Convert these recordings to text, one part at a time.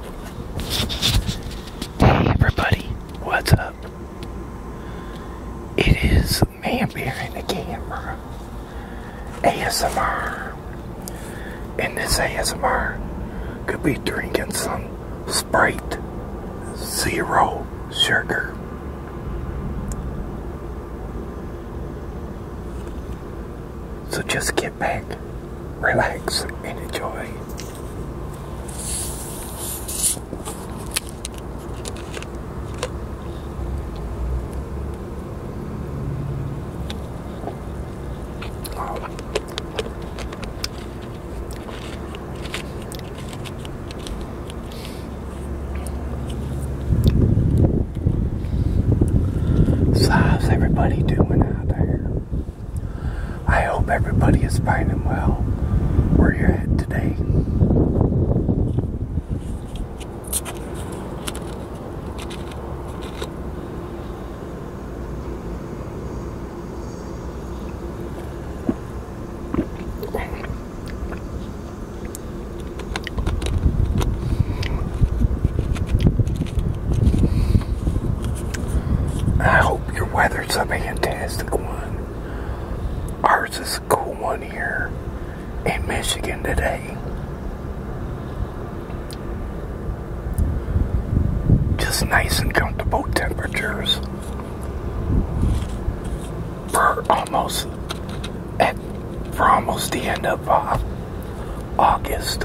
Hey everybody, what's up? It is man in the camera, ASMR, and this ASMR could be drinking some Sprite Zero Sugar. So just get back, relax, and enjoy. how's everybody doing out there? I hope everybody is finding well where you're at today. I hope your weather's a fantastic one. Ours is a cool one here in Michigan today. Just nice and comfortable temperatures. We're almost at, we're almost the end of uh, August.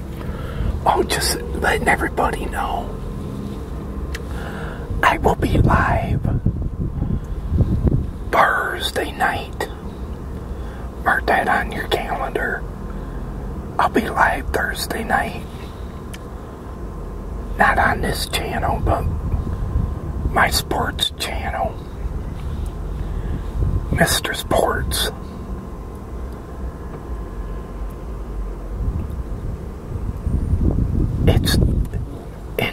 Oh, just letting everybody know. I will be live Thursday night. Mark that on your calendar. I'll be live Thursday night. Not on this channel, but my sports channel. Mr. Sports. It's in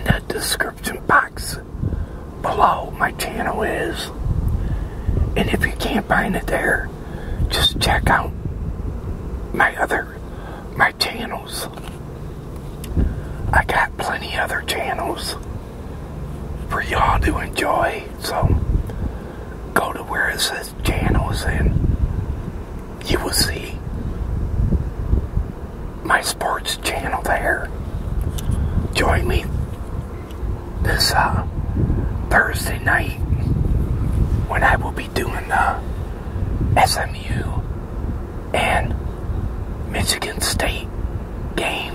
that description box below my channel is. And if you can't find it there, just check out my other my channels. I got plenty other channels for y'all to enjoy. So go to where it says is, and you will see my sports channel there. Join me this uh, Thursday night when I will be doing the SMU and Michigan State game.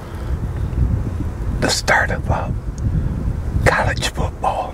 the start of college football.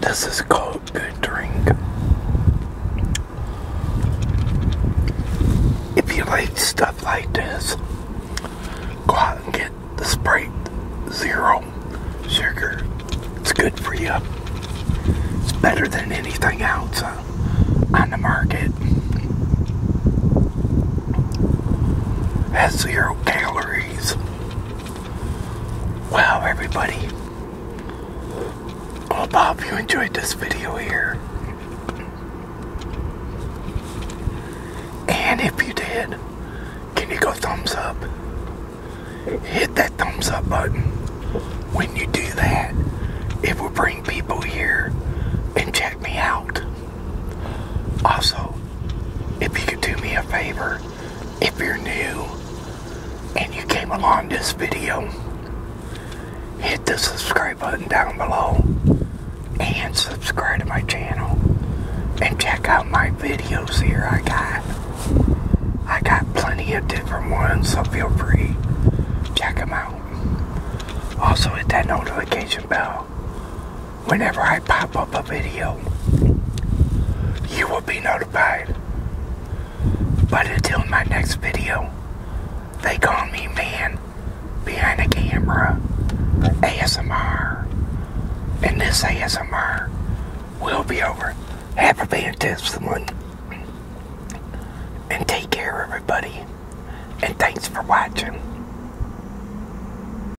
this is called good drink. If you like stuff like this, go out and get the Sprite Zero Sugar. It's good for you. It's better than anything else uh, on the market. Has zero calories. Wow, everybody. Well, Bob, you enjoyed this video here. And if you did, can you go thumbs up? Hit that thumbs up button. When you do that, it will bring people here and check me out. Also, if you could do me a favor if you're new and you came along this video, hit the subscribe button down below and subscribe to my channel and check out my videos here I got. I got plenty of different ones, so feel free. Check them out. Also hit that notification bell whenever I pop up a video, you will be notified. But until my next video, they call me man behind the camera ASMR. And this ASMR will be over. Have a fantastic one. And take care, everybody. And thanks for watching.